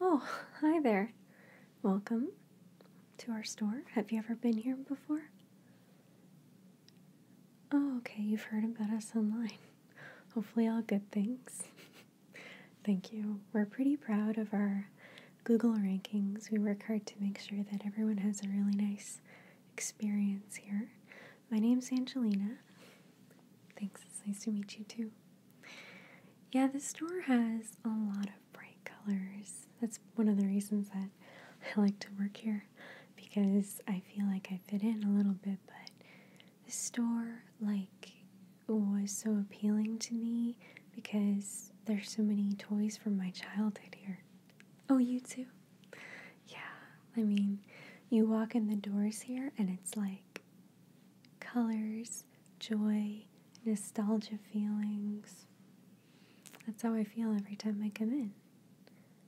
Oh, hi there. Welcome to our store. Have you ever been here before? Oh, okay, you've heard about us online. Hopefully, all good things. Thank you. We're pretty proud of our Google rankings. We work hard to make sure that everyone has a really nice experience here. My name's Angelina. Thanks, it's nice to meet you too. Yeah, the store has a lot of bright colors. That's one of the reasons that I like to work here because I feel like I fit in a little bit, but the store like was so appealing to me because there's so many toys from my childhood here. Oh, you too? Yeah. I mean, you walk in the doors here and it's like colors, joy, nostalgia feelings. That's how I feel every time I come in.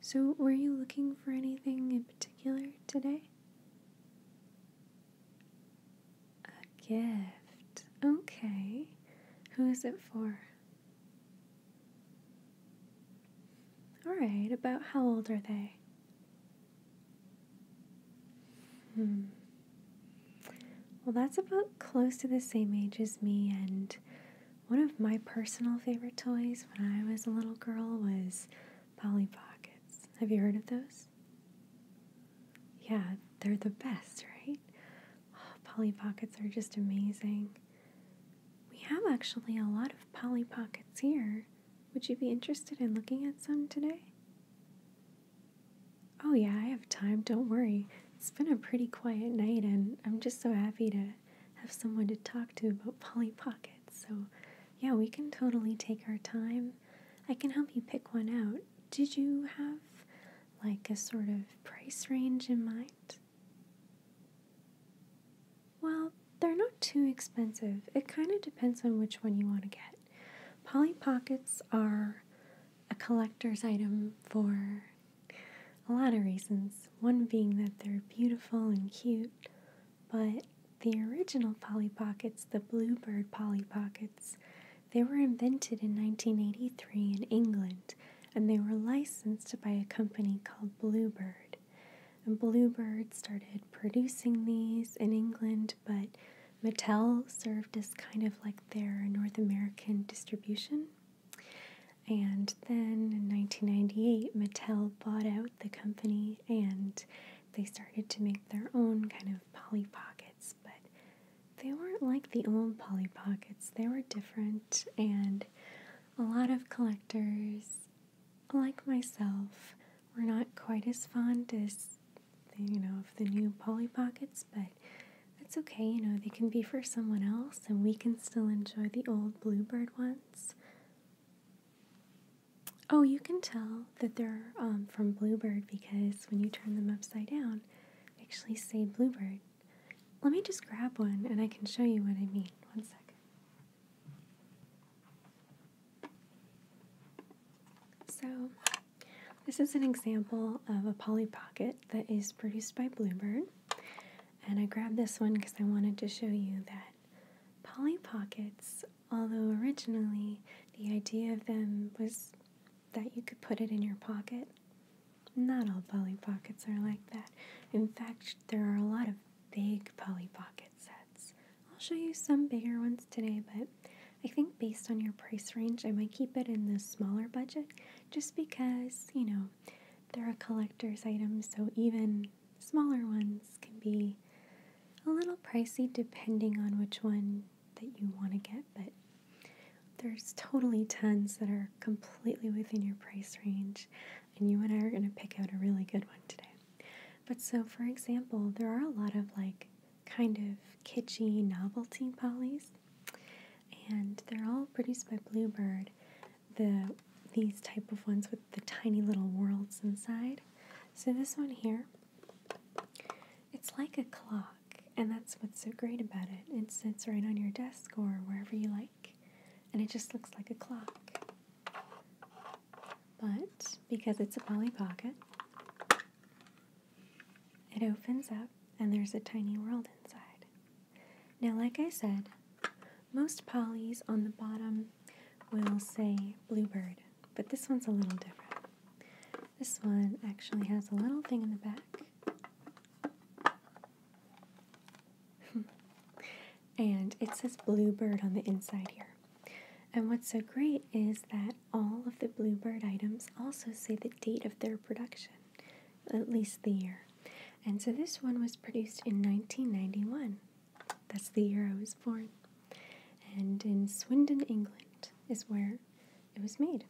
So, were you looking for anything in particular today? A gift. Okay. Who is it for? Alright, about how old are they? Hmm. Well, that's about close to the same age as me, and one of my personal favorite toys when I was a little girl was Polly Pockets. Have you heard of those? Yeah, they're the best, right? Oh, Polly Pockets are just amazing. We have actually a lot of Polly Pockets here. Would you be interested in looking at some today? Oh, yeah, I have time, don't worry. It's been a pretty quiet night, and I'm just so happy to have someone to talk to about Polly Pockets. So, yeah, we can totally take our time. I can help you pick one out. Did you have like a sort of price range in mind? Well, they're not too expensive. It kind of depends on which one you want to get. Polly Pockets are a collector's item for a lot of reasons. One being that they're beautiful and cute, but the original Polly Pockets, the Bluebird Polly Pockets, they were invented in 1983 in England and they were licensed by a company called Bluebird. And Bluebird started producing these in England but Mattel served as kind of like their North American distribution. And then in 1998, Mattel bought out the company and they started to make their own kind of Polly Pockets, but they weren't like the old Polly Pockets. They were different, and a lot of collectors, like myself, were not quite as fond as you know, of the new Polly Pockets, but that's okay. You know, they can be for someone else, and we can still enjoy the old Bluebird ones. Oh, you can tell that they're um, from Bluebird because when you turn them upside down, they actually say Bluebird. Let me just grab one and I can show you what I mean. One second. So, this is an example of a Polly Pocket that is produced by Bluebird. And I grabbed this one because I wanted to show you that Polly Pockets, although originally the idea of them was that you could put it in your pocket, not all Polly Pockets are like that. In fact, there are a lot of big Polly Pocket sets. I'll show you some bigger ones today, but I think based on your price range, I might keep it in the smaller budget just because, you know, they're a collector's item, so even smaller ones can be a little pricey depending on which one that you want to get, but there's totally tons that are completely within your price range, and you and I are going to pick out a really good one today. But so, for example, there are a lot of like kind of kitschy novelty polys, and they're all produced by Bluebird. The these type of ones with the tiny little worlds inside. So this one here, it's like a clock, and that's what's so great about it. It sits right on your desk or wherever you like, and it just looks like a clock. But because it's a Polly Pocket, it opens up and there's a tiny world inside. Now, like I said, most Pollys on the bottom will say bluebird, but this one's a little different. This one actually has a little thing in the back. and it says bluebird on the inside here. And what's so great is that all of the Bluebird items also say the date of their production, at least the year. And so this one was produced in 1991. That's the year I was born. And in Swindon, England, is where it was made.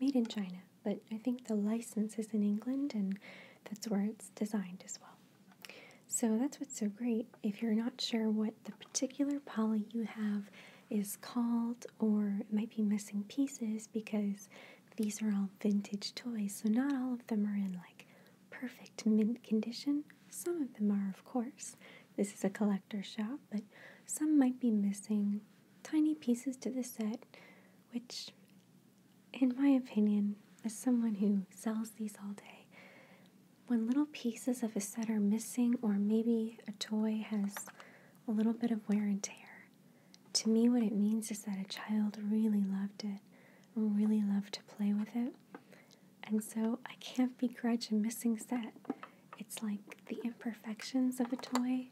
Made in China, but I think the license is in England and that's where it's designed as well. So that's what's so great if you're not sure what the particular Polly you have is called, or it might be missing pieces because these are all vintage toys, so not all of them are in like perfect mint condition. Some of them are, of course. This is a collector shop, but some might be missing tiny pieces to the set, which, in my opinion, as someone who sells these all day, when little pieces of a set are missing, or maybe a toy has a little bit of wear and tear, to me what it means is that a child really loved it, really loved to play with it. And so I can't begrudge a missing set. It's like the imperfections of a toy.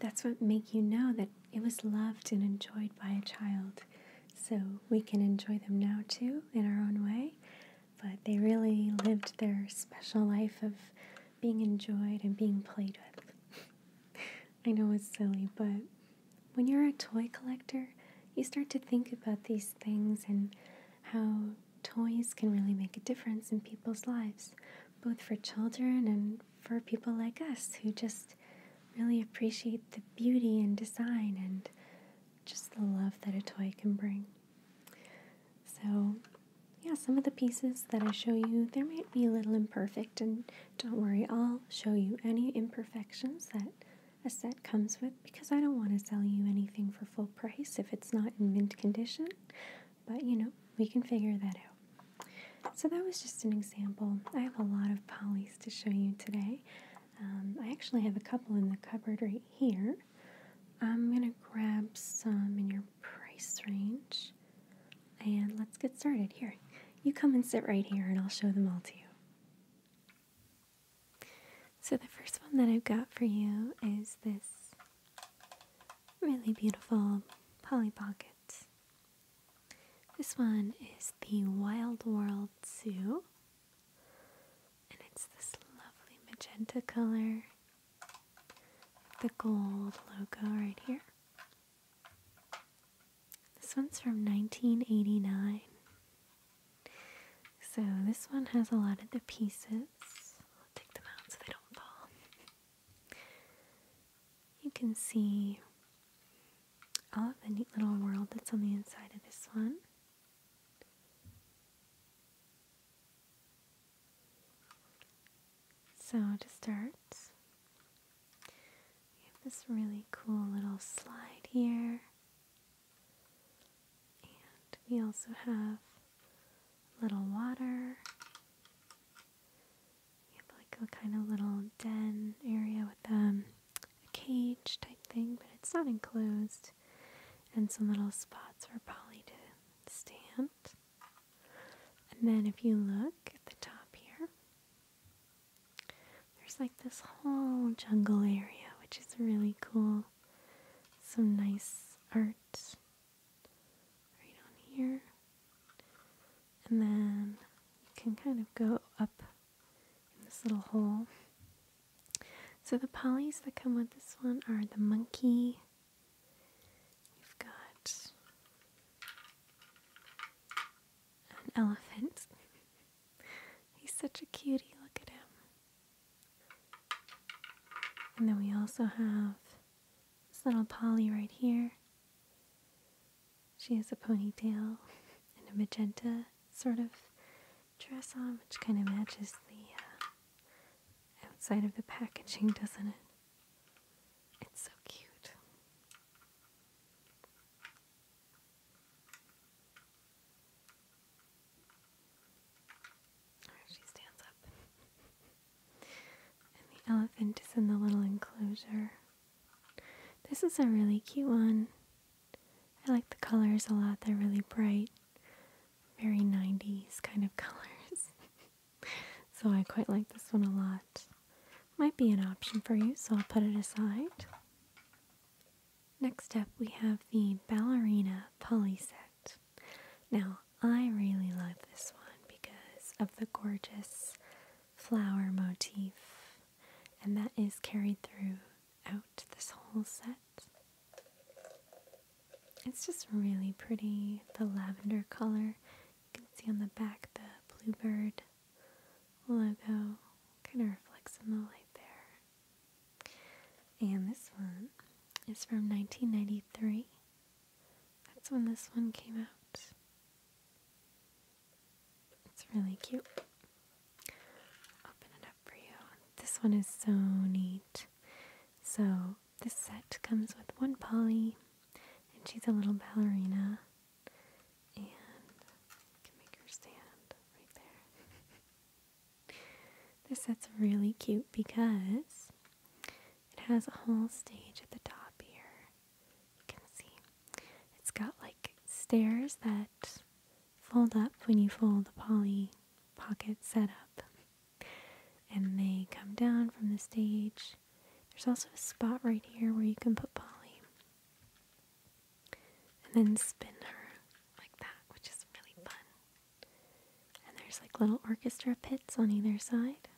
That's what make you know that it was loved and enjoyed by a child. So we can enjoy them now too in our own way but they really lived their special life of being enjoyed and being played with. I know it's silly, but when you're a toy collector, you start to think about these things and how toys can really make a difference in people's lives, both for children and for people like us who just really appreciate the beauty and design and just the love that a toy can bring. So, yeah, some of the pieces that I show you, there might be a little imperfect, and don't worry, I'll show you any imperfections that a set comes with because I don't want to sell you anything for full price if it's not in mint condition, but you know, we can figure that out. So, that was just an example. I have a lot of polys to show you today. Um, I actually have a couple in the cupboard right here, I'm gonna grab some in your price range and let's get started. Here, you come and sit right here and I'll show them all to you. So, the first one that I've got for you is this really beautiful Polly Pocket. This one is the Wild World Zoo and it's this lovely magenta color, the gold logo right here. This one's from 1989. So this one has a lot of the pieces. I'll take them out so they don't fall. You can see all of the neat little world that's on the inside of this one. So to start, we have this really cool little slide here. And we also have little water. We have like a kind of little den area with um, a cage type thing, but it's not enclosed and some little spots for Polly to stand. And then if you look at the top here, there's like this whole jungle area, which is really cool. Some nice art right on here. And then you can kind of go up in this little hole so the polys that come with this one are the monkey. We've got an elephant. He's such a cutie, look at him. And then we also have this little Polly right here. She has a ponytail and a magenta sort of dress on, which kind of matches the uh, outside of the packaging, doesn't it? It's so cute. she stands up. and the elephant is in the little enclosure. This is a really cute one. I like the colors a lot, they're really bright very 90s kind of colors. so I quite like this one a lot. Might be an option for you, so I'll put it aside. Next up, we have the Ballerina Pulley Set. Now, I really love this one because of the gorgeous flower motif, and that is carried through out this whole set. It's just really pretty, the lavender color. You can see on the back the bluebird logo kind of reflects in the light there. And this one is from 1993. That's when this one came out. It's really cute open it up for you. This one is so neat. So, this set comes with one Polly, and she's a little ballerina. And can make her stand right there. this set's really cute because it has a whole stage at the top here. You can see it's got like stairs that fold up when you fold the Polly pocket setup. And they come down from the stage. There's also a spot right here where you can put Polly. And then spin her like that, which is really fun. And there's like little orchestra pits on either side.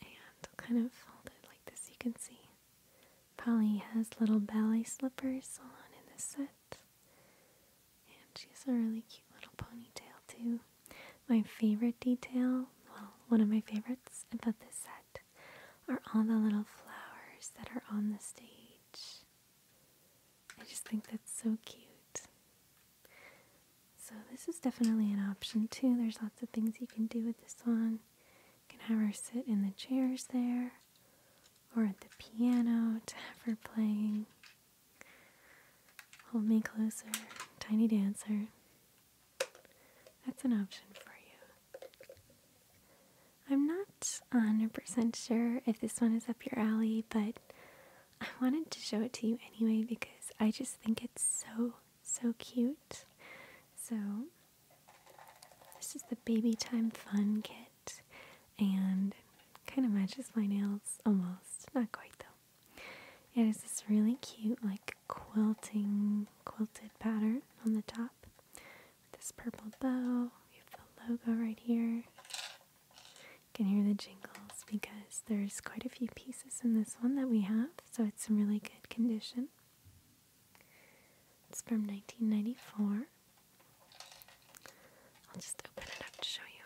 And kind of folded like this, you can see. Polly has little ballet slippers on in this set. And she has a really cute little ponytail, too. My favorite detail, well, one of my favorites about this set, are all the little flowers that are on the stage. I just think that's so cute. So, this is definitely an option, too. There's lots of things you can do with this one. You can have her sit in the chairs there, or at the piano to have her playing. Hold me closer, tiny dancer. That's an option for you. I'm not 100% sure if this one is up your alley, but I wanted to show it to you anyway because I just think it's so, so cute. So, this is the Baby Time Fun Kit and kind of matches my nails almost. Not quite though. It has this really cute, like quilting, quilted pattern on the top with this purple bow. You have the logo right here. You can hear the jingles because there's quite a few pieces in this one that we have, so it's in really good condition. It's from 1994. I'll just open it up to show you.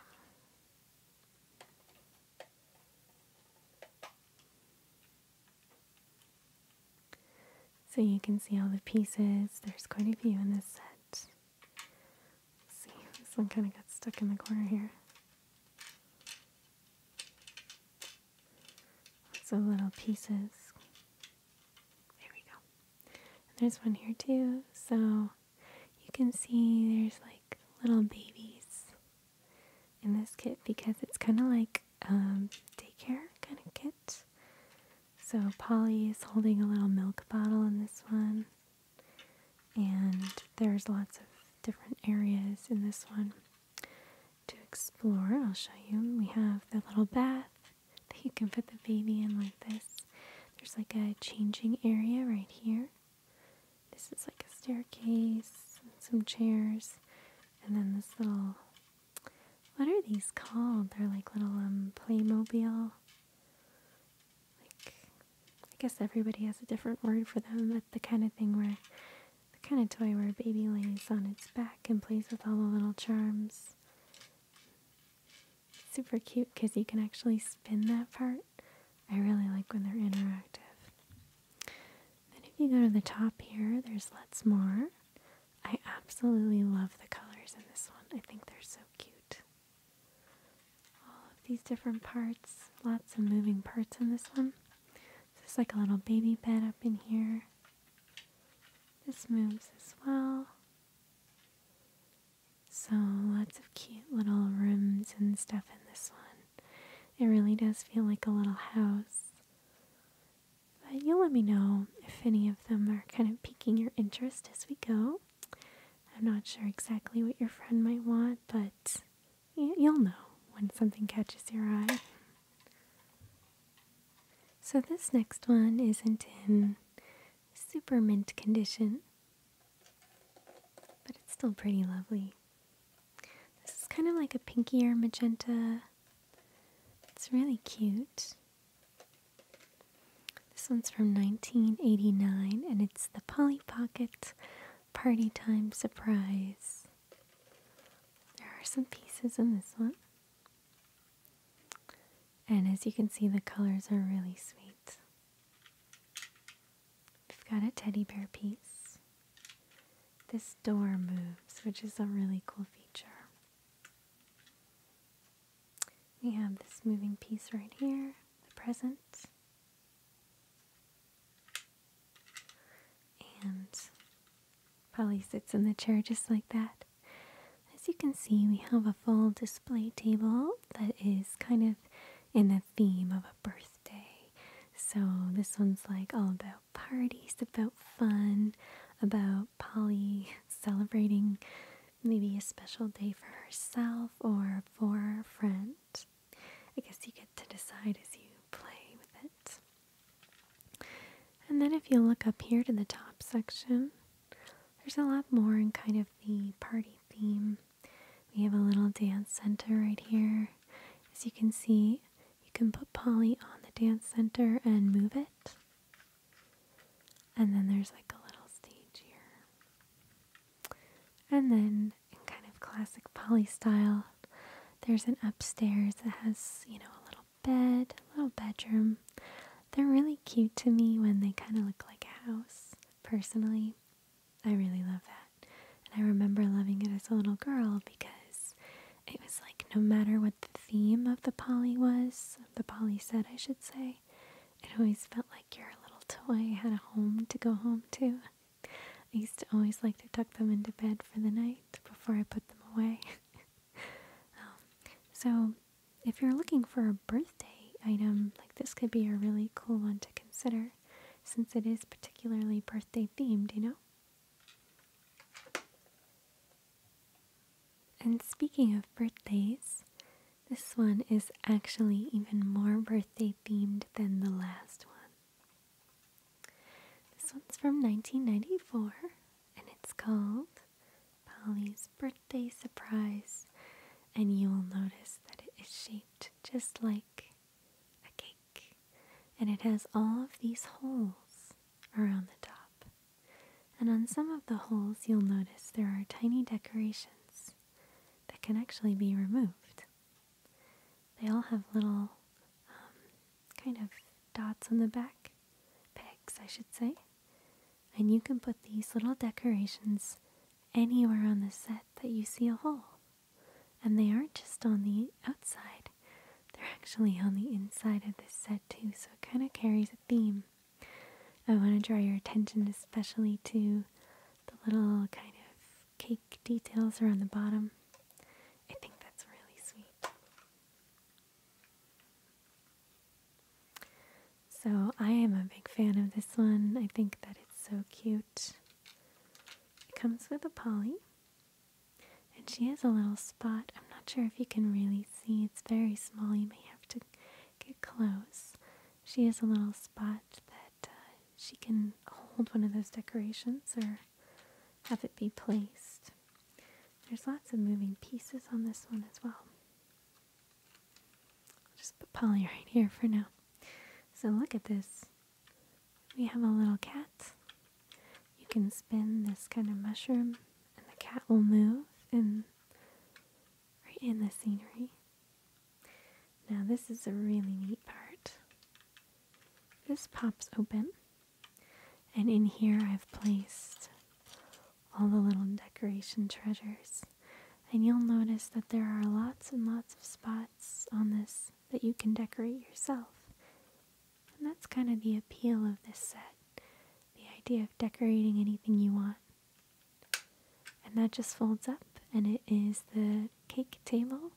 So you can see all the pieces. There's quite a few in this set. see, this one kind of got stuck in the corner here. So little pieces. There we go. And there's one here too. So you can see there's like little babies in this kit because it's kind of like um, daycare kind of kit. So Polly is holding a little milk bottle in this one. And there's lots of different areas in this one to explore. I'll show you. We have the little bath you can put the baby in like this. There's like a changing area right here. This is like a staircase, some chairs, and then this little what are these called? They're like little um Playmobil. Like I guess everybody has a different word for them, but the kind of thing where the kind of toy where a baby lays on its back and plays with all the little charms super cute because you can actually spin that part. I really like when they're interactive. Then if you go to the top here, there's lots more. I absolutely love the colors in this one. I think they're so cute. All of these different parts, lots of moving parts in this one. There's like a little baby bed up in here. This moves as well. So, lots of cute little rooms and stuff in this one. It really does feel like a little house. But you'll let me know if any of them are kind of piquing your interest as we go. I'm not sure exactly what your friend might want, but you'll know when something catches your eye. So, this next one isn't in super mint condition, but it's still pretty lovely. This is kind of like a pinkier magenta. It's really cute. This one's from 1989 and it's the Polly Pocket Party Time Surprise. There are some pieces in this one. And as you can see, the colors are really sweet. We've got a teddy bear piece. This door moves, which is a really cool feature. We have this moving piece right here, the present. And Polly sits in the chair just like that. As you can see, we have a full display table that is kind of in the theme of a birthday. So, this one's like all about parties, about fun, about Polly celebrating maybe a special day for herself or for a friend. I guess you get to decide as you play with it. And then, if you look up here to the top section, there's a lot more in kind of the party theme. We have a little dance center right here. As you can see, you can put Polly on the dance center and move it. And then there's like a little stage here. And then, in kind of classic Polly style, there's an upstairs that has, you know, a little bed, little bedroom. They're really cute to me when they kind of look like a house. Personally, I really love that. And I remember loving it as a little girl because it was like no matter what the theme of the poly was, the poly set, I should say, it always felt like your little toy had a home to go home to. I used to always like to tuck them into bed for the night before I put them away. Um, so if you're looking for a birthday item, like this could be a really cool one to consider since it is particularly birthday themed, you know? And speaking of birthdays, this one is actually even more birthday themed than the last one. This one's from 1994 and it's called Polly's birthday surprise, and you will notice that it is shaped just like a cake, and it has all of these holes around the top. And on some of the holes, you'll notice there are tiny decorations that can actually be removed. They all have little um, kind of dots on the back, pegs, I should say, and you can put these little decorations anywhere on the set that you see a hole. And they aren't just on the outside, they're actually on the inside of this set too, so it kind of carries a theme. I want to draw your attention especially to the little kind of cake details around the bottom. I think that's really sweet. So I am a big fan of this one. I think that it's so cute. It comes with a Polly. And she has a little spot. I'm not sure if you can really see. It's very small. You may have to get close. She has a little spot that uh, she can hold one of those decorations or have it be placed. There's lots of moving pieces on this one as well. I'll just put Polly right here for now. So look at this. We have a little cat. You can spin this kind of mushroom and the cat will move and right in the scenery. Now this is a really neat part. This pops open and in here I've placed all the little decoration treasures. And you'll notice that there are lots and lots of spots on this that you can decorate yourself. And that's kind of the appeal of this set the idea of decorating anything you want. And that just folds up, and it is the cake table,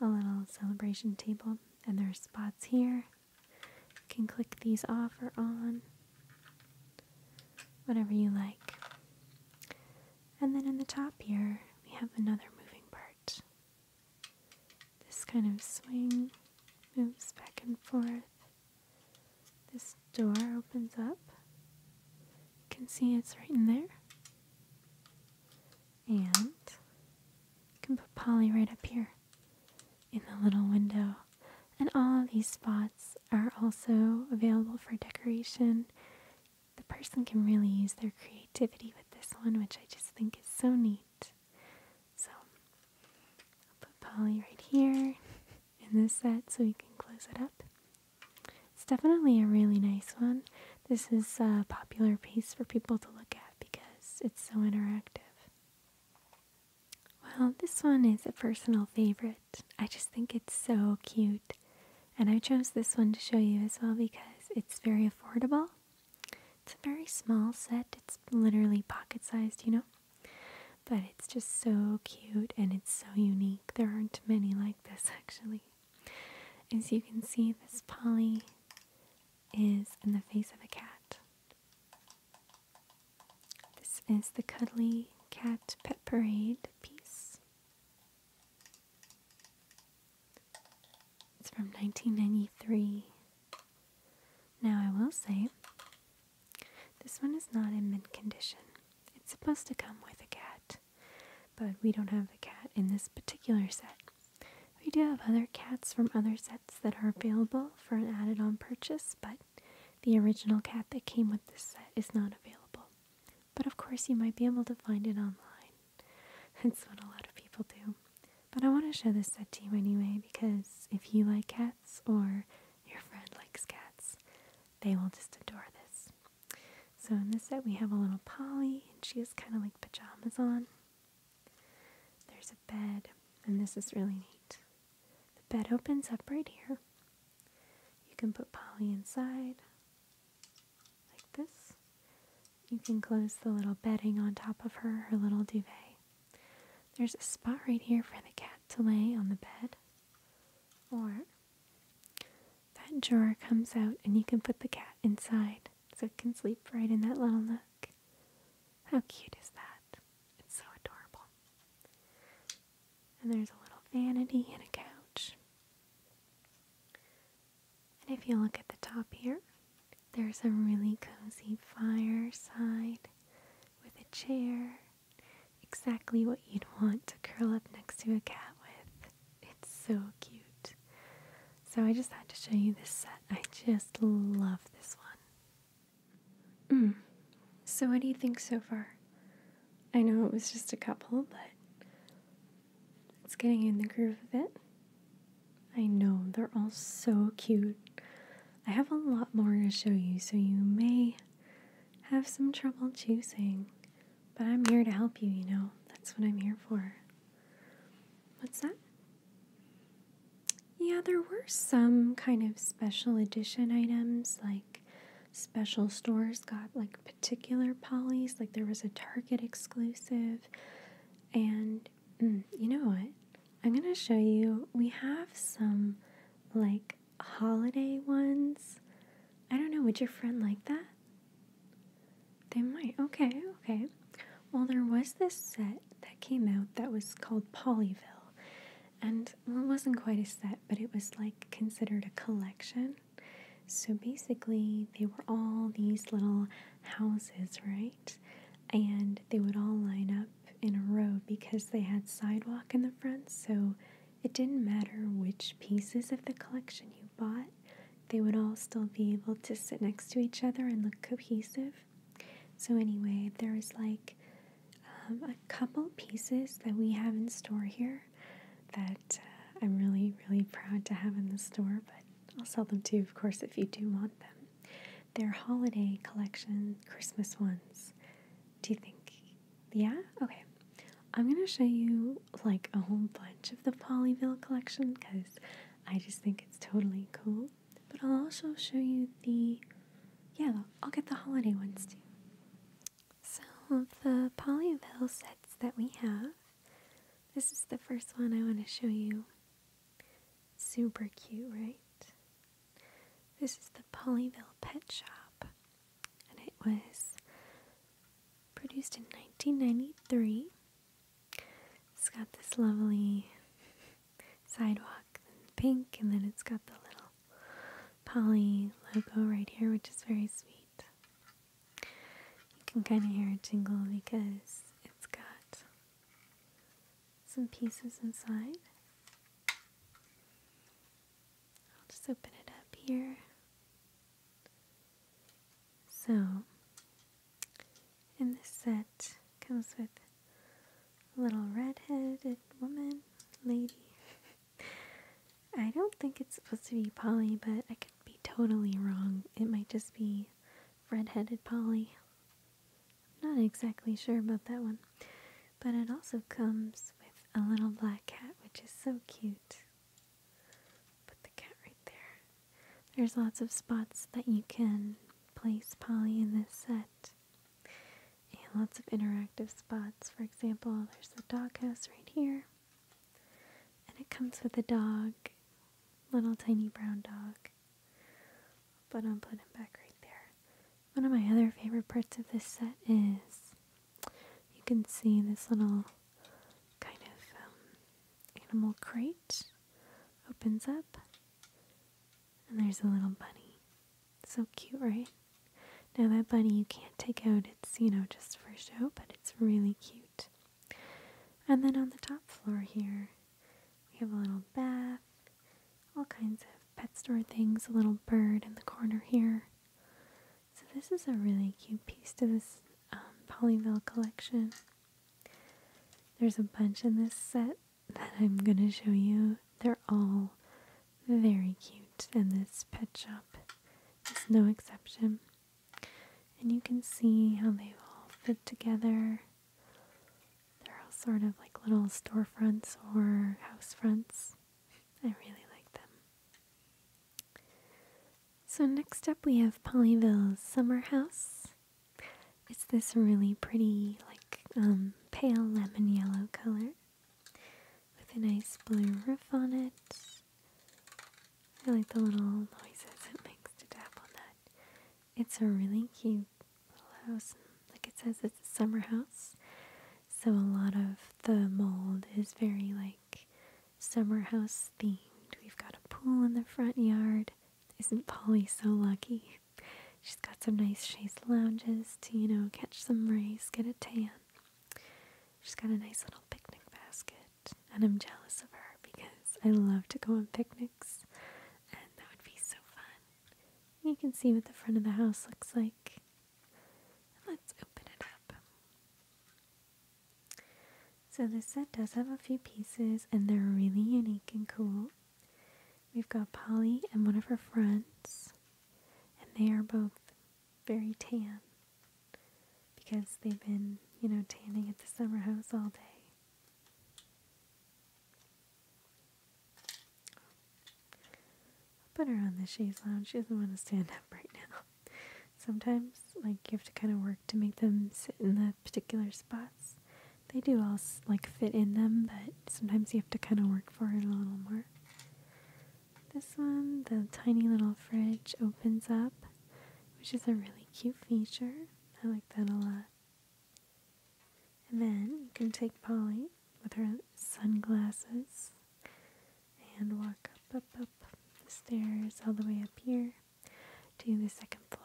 a little celebration table. And there are spots here you can click these off or on, whatever you like. And then in the top here, we have another moving part. This kind of swing moves back and forth. This door opens up. You can see it's right in there. And you can put Polly right up here in the little window. And all of these spots are also available for decoration. The person can really use their creativity with this one, which I just think is so neat. So I'll put Polly right here in this set so we can close it up. It's definitely a really nice one. This is a popular piece for people to look at because it's so interactive. Well, this one is a personal favorite. I just think it's so cute. And I chose this one to show you as well because it's very affordable. It's a very small set. It's literally pocket sized, you know? But it's just so cute and it's so unique. There aren't many like this actually. As you can see, this Polly is in the face of a cat. This is the Cuddly Cat Pet Parade piece. It's from 1993. Now, I will say, this one is not in mint condition. It's supposed to come with a cat, but we don't have the cat in this particular set. We do have other cats from other sets that are available for an added on purchase, but the original cat that came with this set is not available, but of course you might be able to find it online. That's what a lot of people do. But I want to show this set to you anyway because if you like cats or your friend likes cats, they will just adore this. So in this set we have a little Polly and she is kind of like pajamas on. There's a bed and this is really neat. The bed opens up right here. You can put Polly inside, like this. You can close the little bedding on top of her, her little duvet. There's a spot right here for the cat to lay on the bed. Or that drawer comes out and you can put the cat inside so it can sleep right in that little nook. How cute is that? It's so adorable. And there's a little vanity and a couch. And if you look at the top here, there's a really cozy fireside with a chair. Exactly what you'd want to curl up next to a cat with. It's so cute. So I just had to show you this set. I just love this one. Mm. So, what do you think so far? I know it was just a couple, but it's getting in the groove of it. I know, they're all so cute. I have a lot more to show you, so you may have some trouble choosing. But I'm here to help you, you know. That's what I'm here for. What's that? Yeah, there were some kind of special edition items, like special stores got like particular polys, like there was a Target exclusive. And mm, you know what? I'm going to show you. We have some like holiday ones. I don't know, would your friend like that? They might. Okay, okay. Well, there was this set that came out that was called Pollyville and it wasn't quite a set, but it was like considered a collection. So basically, they were all these little houses, right? And they would all line up in a row because they had sidewalk in the front, so it didn't matter which pieces of the collection you bought, they would all still be able to sit next to each other and look cohesive. So, anyway, there's like um, a couple pieces that we have in store here that uh, I'm really, really proud to have in the store, but I'll sell them to you, of course, if you do want them. They're holiday collection Christmas ones. Do you think? Yeah? Okay. I'm going to show you like a whole bunch of the Polyville collection because I just think it's totally cool. But I'll also show you the, yeah, I'll get the holiday ones too. So the Pollyville sets that we have, this is the first one I want to show you. Super cute, right? This is the Pollyville Pet Shop, and it was produced in 1993. It's got this lovely sidewalk and pink, and then it's got the little Polly logo right here, which is very sweet. You can kind of hear it jingle because it's got some pieces inside. I'll just open it up here. So, and this set comes with little red-headed woman, lady. I don't think it's supposed to be Polly, but I could be totally wrong. It might just be red-headed Polly. I'm not exactly sure about that one. But it also comes with a little black cat, which is so cute. Put the cat right there. There's lots of spots that you can place Polly in this set and lots of interactive spots. For example, there's the dog house right here, and it comes with a dog, little tiny brown dog. But i am putting him back right there. One of my other favorite parts of this set is you can see this little kind of um, animal crate opens up and there's a little bunny. So cute, right? Now, that bunny you can't take out, it's, you know, just for show, but it's really cute. And then on the top floor here, we have a little bath, all kinds of pet store things, a little bird in the corner here. So, this is a really cute piece to this um, collection. There's a bunch in this set, that I'm going to show you. They're all very cute, and this pet shop is no exception. And you can see how they all fit together. They're all sort of like little storefronts or house fronts. I really like them. So, next up, we have Pollyville's Summer House. It's this really pretty, like, um, pale lemon yellow color with a nice blue roof on it. I like the little noises it makes to tap on that. It's a really cute little house. Like it says, it's a summer house. So a lot of the mold is very like summer house themed. We've got a pool in the front yard. Isn't Polly so lucky? She's got some nice chaise lounges to, you know, catch some rays, get a tan. She's got a nice little picnic basket, and I'm jealous of her because I love to go on picnics, and that would be so fun. You can see what the front of the house looks like. Let's open it up. So, this set does have a few pieces, and they're really unique and cool. We've got Polly and one of her friends, and they are both very tan because they've been, you know, tanning at the summer house all day. put her on the chaise lounge. She doesn't want to stand up right now. Sometimes, like, you have to kind of work to make them sit in the particular spots they do all like fit in them, but sometimes you have to kind of work for it a little more. This one, the tiny little fridge opens up, which is a really cute feature. I like that a lot. And then you can take Polly with her sunglasses and walk up, up, up the stairs all the way up here to the second floor.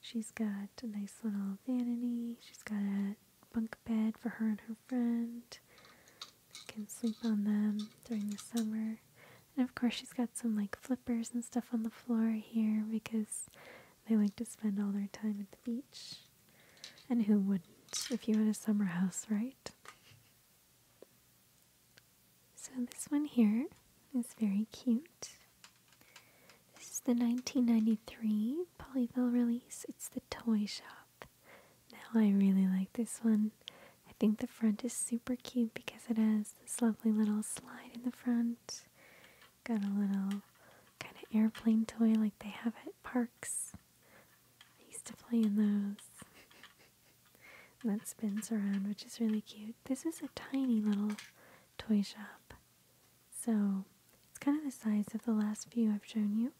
She's got a nice little vanity. She's got a bunk bed for her and her friend. can sleep on them during the summer. And of course, she's got some like flippers and stuff on the floor here because they like to spend all their time at the beach. And who wouldn't if you had a summer house, right? So, this one here is very cute. This is the 1993 Polyville release. It's the Toy Shop. Now I really like this one. I think the front is super cute because it has this lovely little slide in the front. Got a little kind of airplane toy like they have at parks. I used to play in those. that spins around, which is really cute. This is a tiny little toy shop. So it's kind of the size of the last few I've shown you,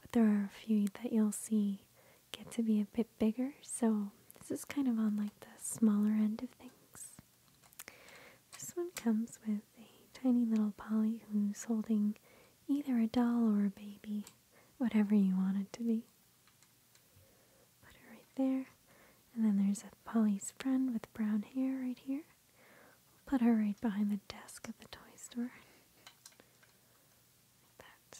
but there are a few that you'll see get to be a bit bigger. So this is kind of on like the smaller end of things. This one comes with a tiny little Polly who's holding either a doll or a baby, whatever you want it to be. Put it right there. And then there's a Polly's friend with brown hair right here put her right behind the desk at the toy store. Like that.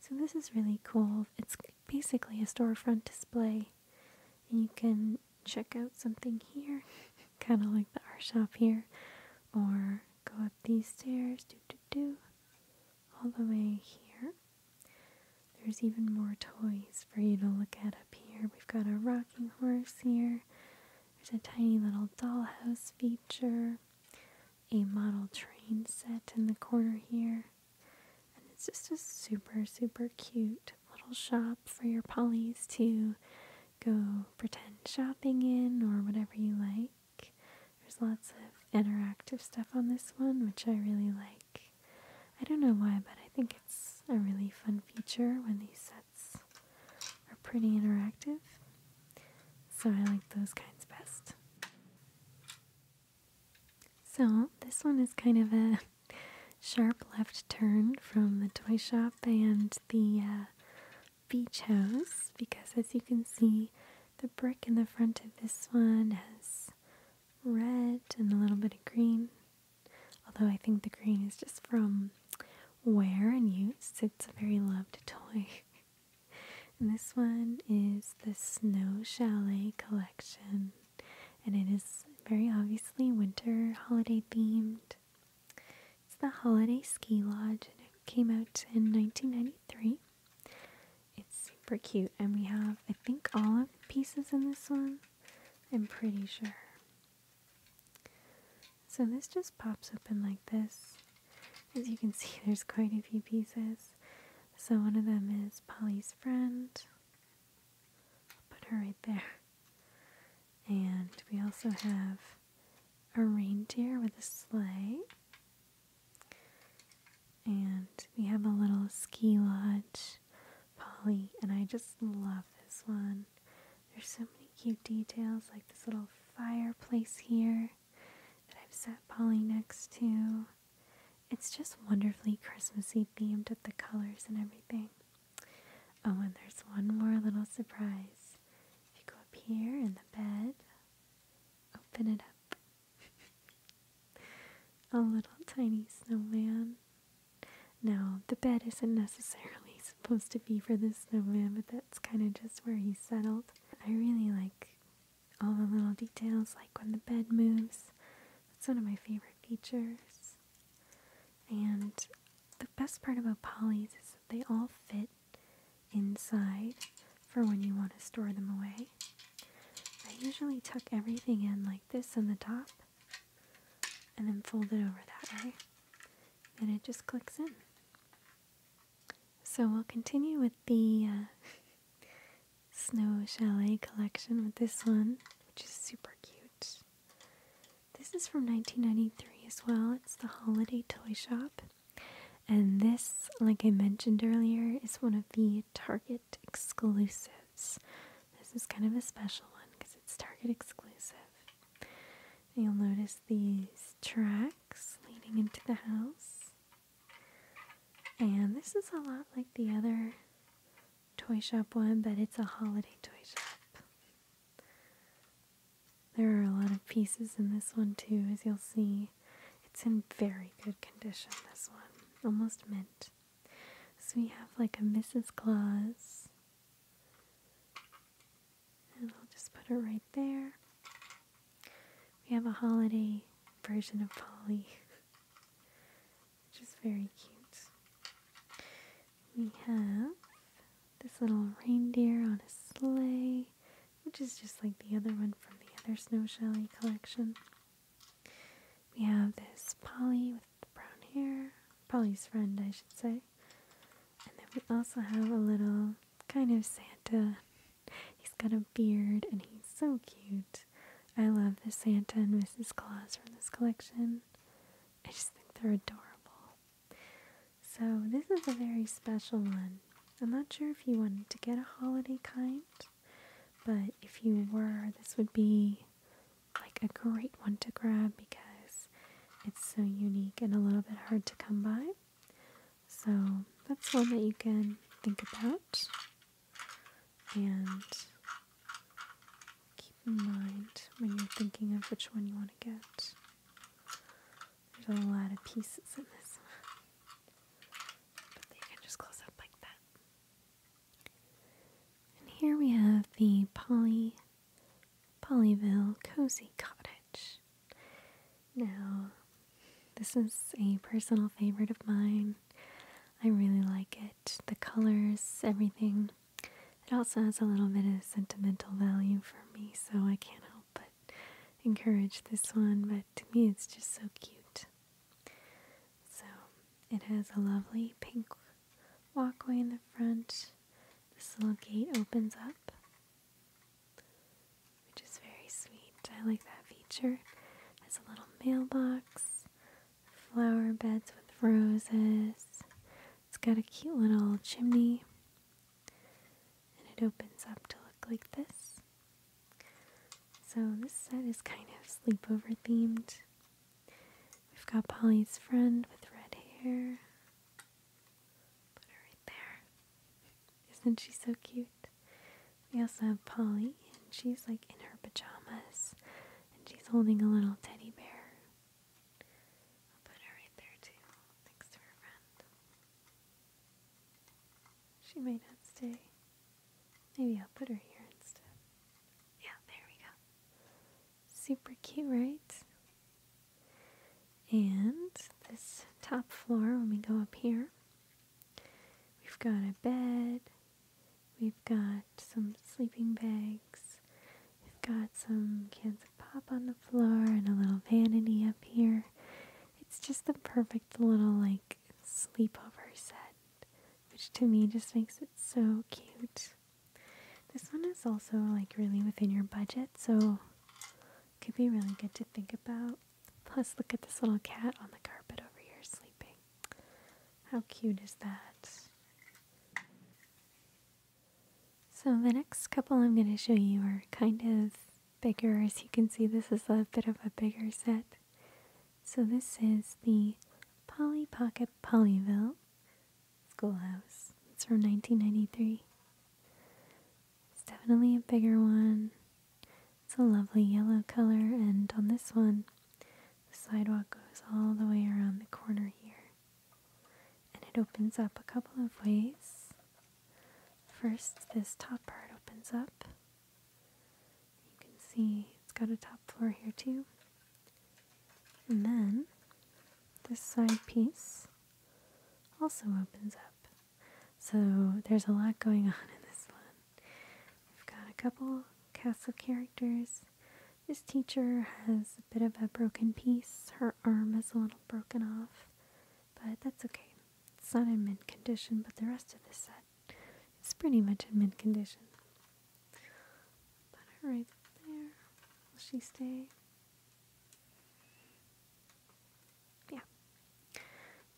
So this is really cool. It's basically a storefront display. you can check out something here, kind of like the art shop here, or go up these stairs, doo doo doo, all the way here. There's even more toys for you to look at here. We've got a rocking horse here. There's a tiny little dollhouse feature, a model train set in the corner here. And it's just a super, super cute little shop for your pollies to go pretend shopping in or whatever you like. There's lots of interactive stuff on this one, which I really like. I don't know why, but I think it's a really fun feature when these sets are pretty interactive. So I like those kinds best. So this one is kind of a sharp left turn from the toy shop and the uh, beach house because as you can see the brick in the front of this one has red and a little bit of green Although I think the green is just from wear and use, it's a very loved toy. and this one is the Snow Chalet collection, and it is very obviously winter holiday themed. It's the Holiday Ski Lodge, and it came out in 1993. It's super cute, and we have, I think, all of pieces in this one. I'm pretty sure. So this just pops open like this. As you can see, there's quite a few pieces. So one of them is Polly's friend. put her right there. And we also have a reindeer with a sleigh. And we have a little ski lodge Polly, and I just love this one. There's so many cute details, like this little fireplace here that I've set Polly next to. It's just wonderfully Christmassy themed with the colors and everything. Oh, and there's one more little surprise. If you go up here in the bed, open it up. A little tiny snowman now, the bed isn't necessarily supposed to be for the snowman, but that's kind of just where he settled. I really like all the little details, like when the bed moves. That's one of my favorite features. And the best part about polys is that they all fit inside for when you want to store them away. I usually tuck everything in like this on the top and then fold it over that way and it just clicks in. So we'll continue with the uh, Snow Chalet collection with this one, which is super cute. This is from 1993 as well. It's the Holiday Toy Shop. And this, like I mentioned earlier, is one of the Target exclusives. This is kind of a special one because it's Target exclusive. you'll notice these tracks leading into the house. And this is a lot like the other toy shop one, but it's a holiday toy shop. There are a lot of pieces in this one too, as you'll see. It's in very good condition, this one. Almost mint. So we have like a Mrs. Claus, and I'll just put her right there. We have a holiday version of Polly, which is very cute. We have this little reindeer on a sleigh, which is just like the other one from the other Snowshelly collection. We have this Polly with brown hair, Polly's friend, I should say. And then we also have a little kind of Santa. He's got a beard and he's so cute. I love the Santa and Mrs. Claus from this collection. I just think they're adorable. So, this is a very special one. I'm not sure if you wanted to get a holiday kind, but if you were, this would be like a great one to grab because it's so unique and a little bit hard to come by. So that's one that you can think about and keep in mind when you're thinking of which one you want to get. There's a lot of pieces in this But you can just close up like that. And here we have the Poly Pollyville Cozy Cottage. Now, this is a personal favorite of mine. I really like it. The colors, everything. It also has a little bit of sentimental value for me, so I can't help but encourage this one. But to me, it's just so cute. So, it has a lovely pink walkway in the front. This little gate opens up, which is very sweet. I like that feature. There's a little mailbox, flower beds with roses. It's got a cute little chimney, and it opens up to look like this. So, this set is kind of sleepover themed. We've got Polly's friend with red hair. Put her right there. Isn't she so cute? We also have Polly, and she's like in her pajamas, and she's holding a little teddy bear. I'll put her right there too, next to her friend. She might not stay. Maybe I'll put her here instead. Yeah, there we go. Super cute, right? And this top floor, when we go up here, we've got a bed, we've got some sleeping bags, we've got some cans of pop on the floor, and a little vanity up here. It's just the perfect little, like, sleepover set, which to me just makes it so cute. This one is also like really within your budget, so could be really good to think about. Plus, look at this little cat on the carpet over here sleeping. How cute is that? So, the next couple I'm going to show you are kind of bigger. As you can see, this is a bit of a bigger set. So, this is the Polly Pocket Pollyville. Schoolhouse. It's from 1993. It's definitely a bigger one. It's a lovely yellow color, and on this one, the sidewalk goes all the way around the corner here. And it opens up a couple of ways. First, this top part opens up. You can see it's got a top floor here too. And then this side piece also opens up. So there's a lot going on in this one. We've got a couple castle characters. This teacher has a bit of a broken piece. Her arm is a little broken off, but that's okay. It's not in mint condition, but the rest of the set is pretty much in mint condition. Put her right there. Will she stay? Yeah.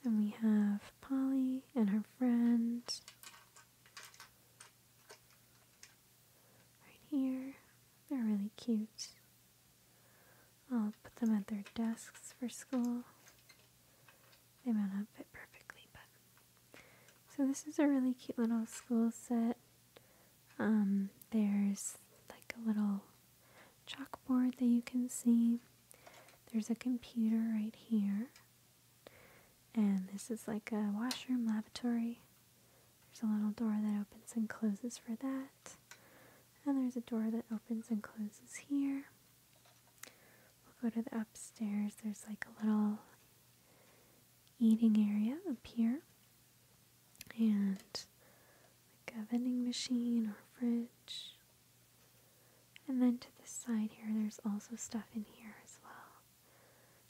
Then we have Polly and her friends. Right here. They're really cute. I'll put them at their desks for school. They might not fit perfectly, but so this is a really cute little school set. Um, there's like a little chalkboard that you can see. There's a computer right here. And this is like a washroom lavatory. There's a little door that opens and closes for that. And there's a door that opens and closes here. We'll go to the upstairs. There's like a little eating area up here and like a vending machine or fridge. And then to the side here, there's also stuff in here as well.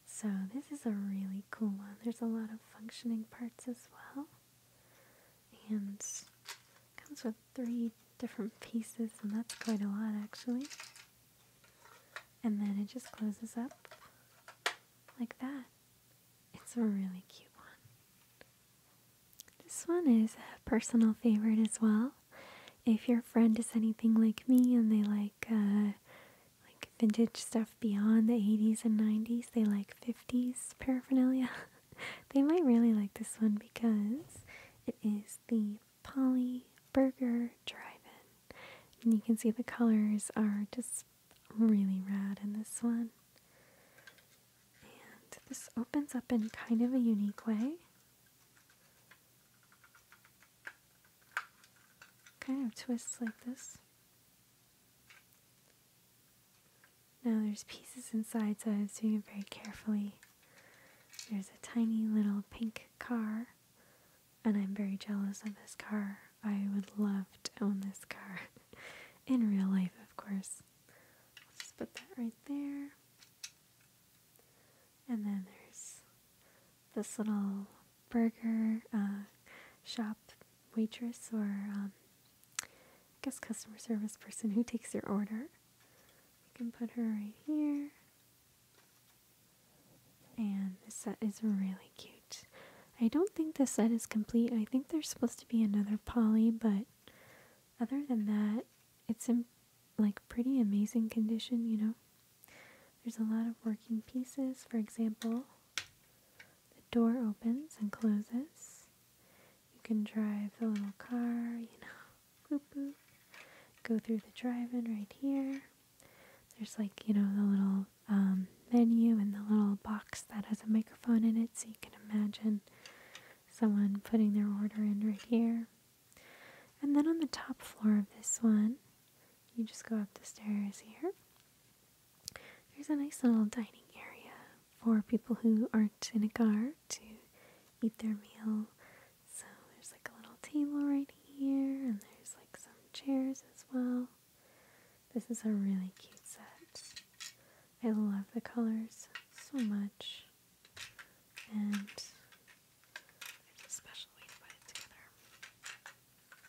So this is a really cool one. There's a lot of functioning parts as well. And comes with three different pieces, and that's quite a lot actually. And then it just closes up like that. It's a really cute one. This one is a personal favorite as well. If your friend is anything like me and they like uh, like vintage stuff beyond the 80s and 90s, they like 50s paraphernalia. they might really like this one because it is the Polly Burger Drive-In. And you can see the colors are just really rad in this one. And this opens up in kind of a unique way. Kind of twists like this. Now there's pieces inside, so I was doing it very carefully. There's a tiny little pink car and I'm very jealous of this car. I would love to own this car in real life, of course. I'll just put that right there. And then there's this little burger uh, shop waitress or um, I guess customer service person who takes your order. We can put her right here. And this set is really cute. I don't think this set is complete. I think there's supposed to be another Polly, but other than that, it's in like pretty amazing condition, you know. There's a lot of working pieces. For example, the door opens and closes. You can drive the little car, you know, Go through the drive-in right here. There's like, you know, the little um, menu and the little box that has a microphone in it, so you can imagine someone putting their order in right here. And then on the top floor of this one, you just go up the stairs here. There's a nice little dining area for people who aren't in a car to eat their meal. So there's like a little table right here, and there's like some chairs as well. This is a really cute set. I love the colors so much. And there's a special way to put it together.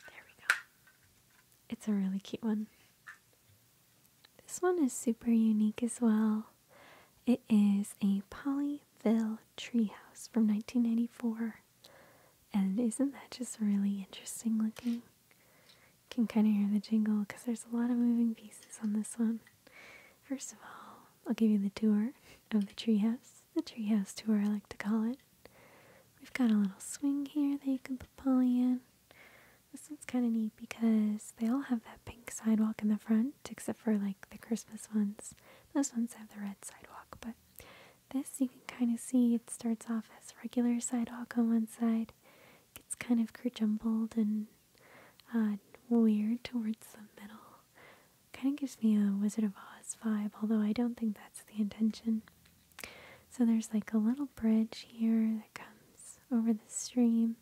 There we go. It's a really cute one. This one is super unique as well. It is a Polyville treehouse from 1994. And isn't that just really interesting looking? You can kind of hear the jingle because there's a lot of moving pieces on this one. First of all, I'll give you the tour of the treehouse, the treehouse tour I like to call it. We've got a little swing here that you can pull in. This one's kind of neat because they all have that pink sidewalk in the front, except for like the Christmas ones. Those ones have the red sidewalk, but this you can kind of see it starts off as regular sidewalk on one side, gets kind of crumpled and uh, weird towards the middle. Kind of gives me a Wizard of Oz vibe, although I don't think that's the intention. So there's like a little bridge here that comes over the stream,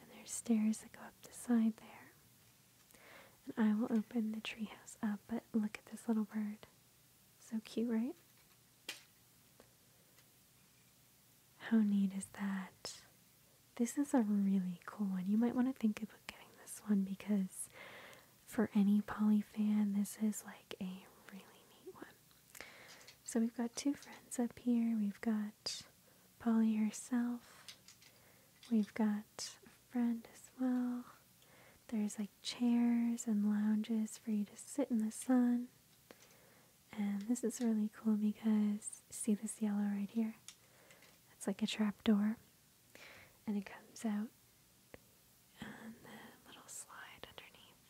and there's stairs that go up the side there. And I will open the treehouse up, but look at this little bird. So cute, right? How neat is that? This is a really cool one. You might want to think about getting this one because for any Polly fan, this is like a really neat one. So we've got two friends up here. We've got Polly herself. We've got a friend as well. There's like chairs and lounges for you to sit in the sun. And this is really cool because see this yellow right here? It's like a trapdoor. And it comes out on the little slide underneath.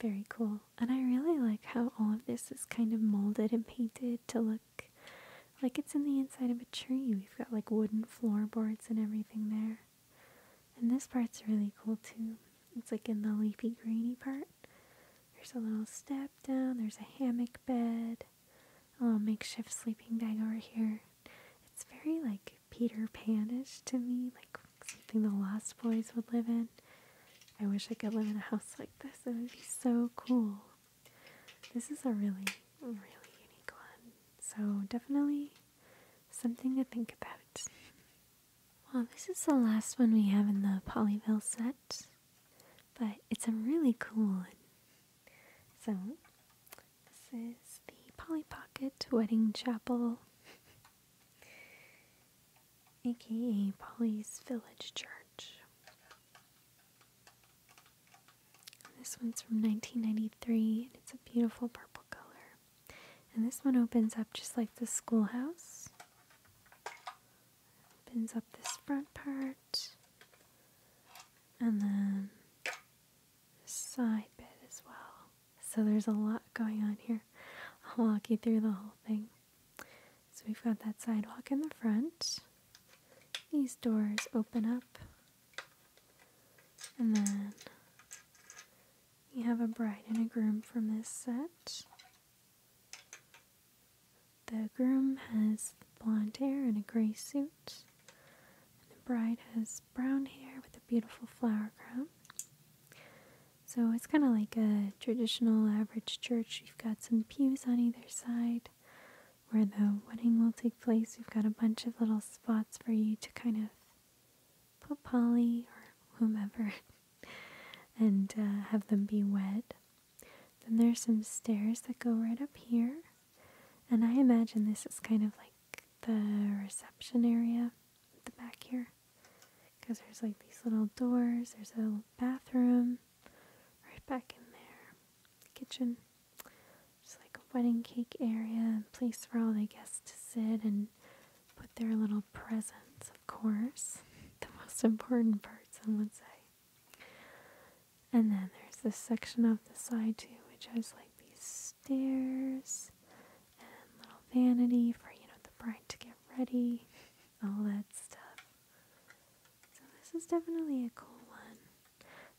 Very cool. And I really like how all of this is kind of molded and painted to look like it's in the inside of a tree. We've got like wooden floorboards and everything there. And this part's really cool too. It's like in the leafy greeny part. There's a little step down, there's a hammock bed, a little makeshift sleeping bag over here. It's very like Peter Panish to me, like something the Lost Boys would live in. I wish I could live in a house like this. It would be so cool. This is a really, really unique one. So, definitely something to think about. Well, this is the last one we have in the Pollyville set, but it's a really cool one. So, this is the Polly Pocket Wedding Chapel, aka Polly's Village Church. This one's from 1993 and it's a beautiful purple color. And this one opens up just like the schoolhouse. Opens up this front part. And then the side bit as well. So there's a lot going on here. I'll walk you through the whole thing. So we've got that sidewalk in the front. These doors open up and then you have a bride and a groom from this set. The groom has blonde hair and a gray suit. And the bride has brown hair with a beautiful flower crown. So it's kind of like a traditional average church. You've got some pews on either side, where the wedding will take place. We've got a bunch of little spots for you to kind of put Polly or whomever and uh, have them be wed. Then there's some stairs that go right up here. And I imagine this is kind of like the reception area the back here. Because there's like these little doors, there's a little bathroom right back in there, kitchen just like a wedding cake area, a place for all the guests to sit and put their little presents, of course. The most important part, some would say. And then there's this section off the side too, which has like these stairs and little vanity for, you know, the bride to get ready, all that stuff. So this is definitely a cool one.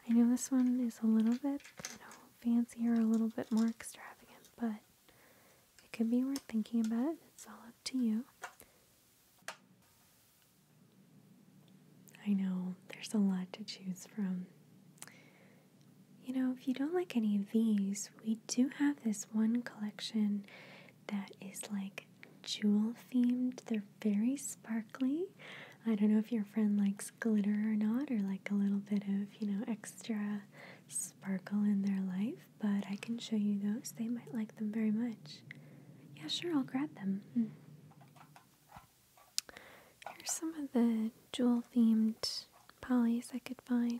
I know this one is a little bit, you know, fancier, a little bit more extravagant, but it could be worth thinking about. It's all up to you. I know there's a lot to choose from. You know, if you don't like any of these, we do have this one collection that is like jewel themed. They're very sparkly I don't know if your friend likes glitter or not, or like a little bit of, you know, extra sparkle in their life, but I can show you those. They might like them very much. Yeah, sure, I'll grab them. Hmm. Here's some of the jewel themed polys I could find.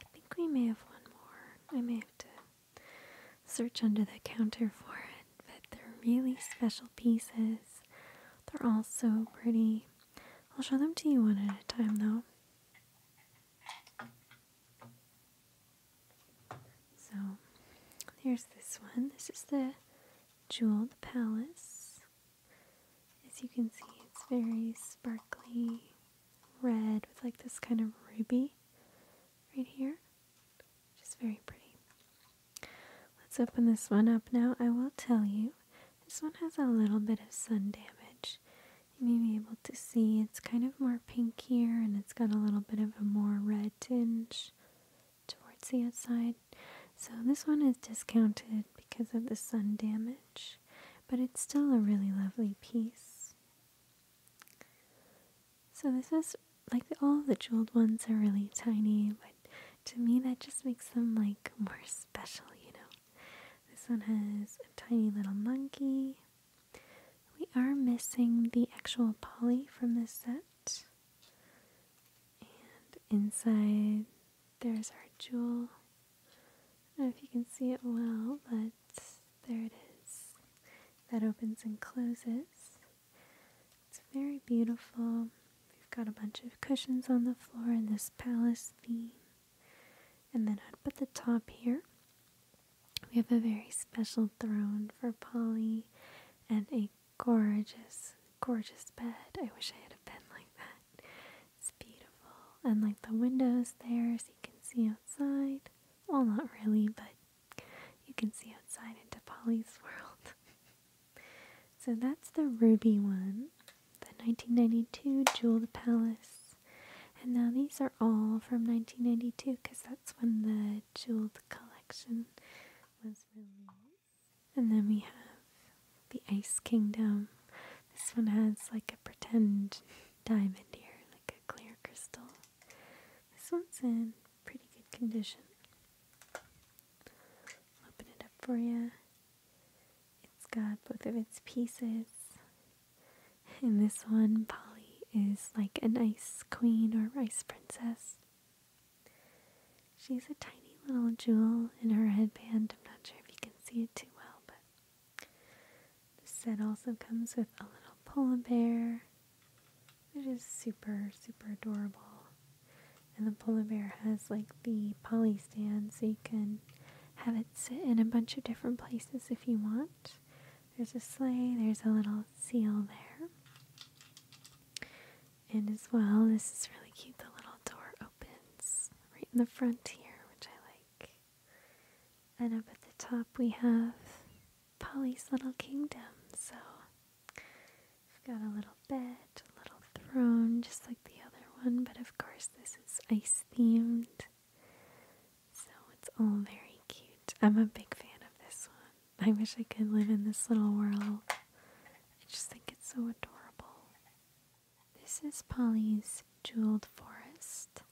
I think we may have one more. I may have to search under the counter for it, but they're really special pieces. They're all so pretty. I'll show them to you one at a time though. So here's this one. This is the jewel, the Palace. As you can see, it's very sparkly red with like this kind of ruby right here which is very pretty. Let's open this one up now. I will tell you, this one has a little bit of sun damage. You may be able to see it's kind of more pink here and it's got a little bit of a more red tinge towards the outside. So this one is discounted because of the sun damage, but it's still a really lovely piece. So this is like all the jeweled ones are really tiny, but to me that just makes them like more special, you know. This one has a tiny little monkey. We are missing the actual Polly from this set. And inside there's our jewel. I don't know if you can see it well, but there it is. That opens and closes. It's very beautiful. We've got a bunch of cushions on the floor in this palace theme. And then up at the top here, we have a very special throne for Polly and a gorgeous, gorgeous bed. I wish I had a bed like that. It's beautiful. And like the windows there, so you can see outside. Well, not really, but you can see outside into Polly's world. So that's the ruby one, the 1992 Jeweled Palace. And now these are all from 1992 because that's when the Jeweled collection was released. And then we have the Ice Kingdom. This one has like a pretend diamond here, like a clear crystal. This one's in pretty good condition. open it up for you. It's got both of its pieces. In this one, Polly is like a ice queen or ice princess. She's a tiny little jewel in her headband. I'm not sure if you can see it too well, but this set also comes with a little polar bear, it is super, super adorable. And the polar bear has like the Polly stand so you can have it sit in a bunch of different places if you want. There's a sleigh, there's a little seal there. And as well, this is really cute. The little door opens right in the front here, which I like. And up at the top, we have Polly's little kingdom. So I've got a little bed, a little throne, just like the other one, but of course this is ice themed. So it's all very cute. I'm a big fan of this one. I wish I could live in this little world. I just think it's so adorable. This is Polly's Jeweled Forest.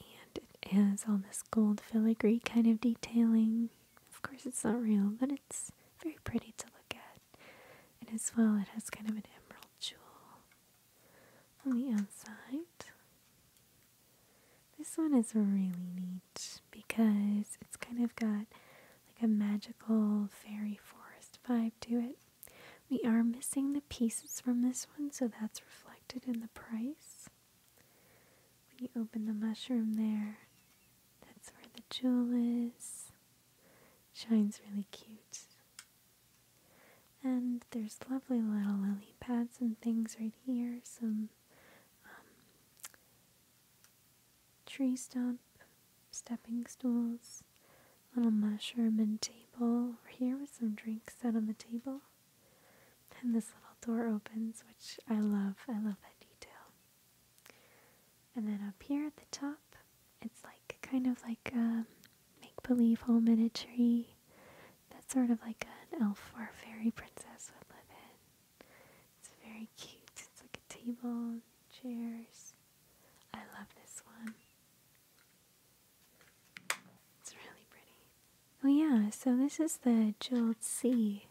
And it has all this gold filigree kind of detailing. Of course, it's not real, but it's very pretty to look at. And as well, it has kind of an emerald jewel on the outside. This one is really neat because it's kind of got like a magical fairy forest vibe to it. We are missing the pieces from this one, so that's reflected in the price. When you open the mushroom there, that's where the jewel is. Shines really cute. And there's lovely little lily pads and things right here. Some um, tree stump, stepping stools, little mushroom and table. Over here with some drinks set on the table. And this little door opens, which I love. I love that detail. And then up here at the top, it's like kind of like a make believe hole miniature that's sort of like an elf or fairy princess would live in. It's very cute. It's like a table, chairs. I love this one. It's really pretty. Oh, yeah, so this is the Jeweled Sea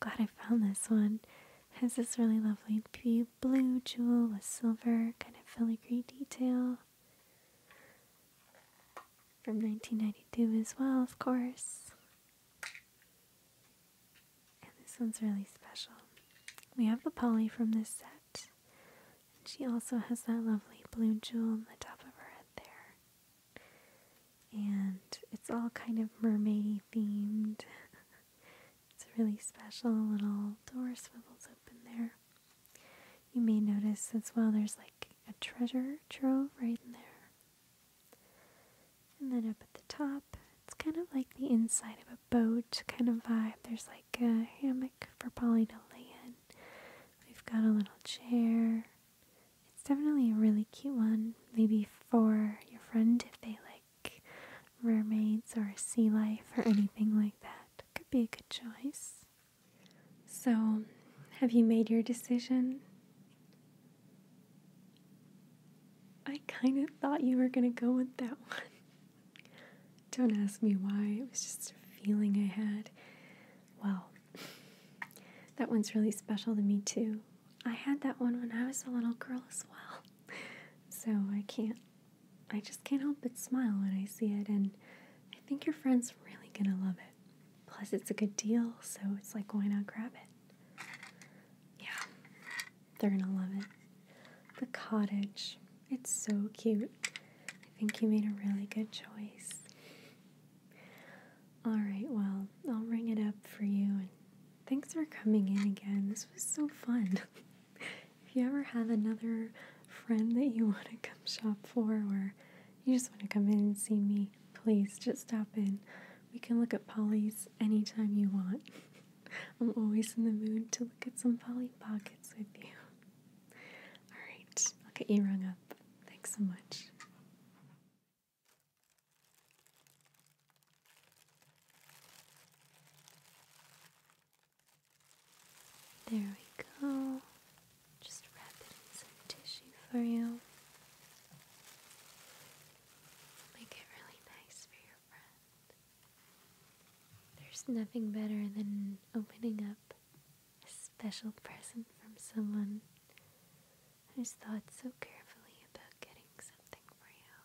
Glad I found this one. has this really lovely blue jewel with silver kind of filigree detail from 1992 as well, of course. And this one's really special. We have the Polly from this set. And she also has that lovely blue jewel on the top of her head there and it's all kind of mermaid themed. it's a really special. little door swivels open there. You may notice as well there's like a treasure trove right in there. And then up at the top, it's kind of like the inside of a boat kind of vibe. There's like a hammock for Polly to lay in. We've got a little chair. It's definitely a really cute one, maybe for your friend if they like mermaids or sea life or anything like that. Could be a good choice. So, have you made your decision? I kind of thought you were going to go with that one. Don't ask me why, it was just a feeling I had. Well, that one's really special to me too. I had that one when I was a little girl as well. So I can't, I just can't help but smile when I see it, and I think your friend's really gonna love it. Plus, it's a good deal, so it's like, why not grab it? Yeah, they're gonna love it. The cottage, it's so cute. I think you made a really good choice. Alright, well, I'll ring it up for you and thanks for coming in again. This was so fun. if you ever have another friend that you want to come shop for, or you just want to come in and see me, please just stop in. We can look at Polly's anytime you want. I'm always in the mood to look at some Polly Pockets with you. Alright, I'll get you rung up. Thanks so much. There we go. Just wrap it in some tissue for you. Make it really nice for your friend. There's nothing better than opening up a special present from someone who's thought so carefully about getting something for you.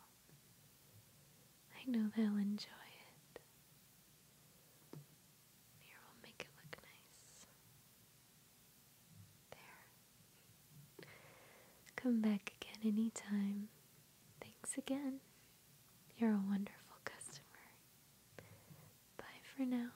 I know they'll enjoy it. Here, we'll make it look nice. There. Come back again anytime. Thanks again. You're a wonderful customer. Bye for now.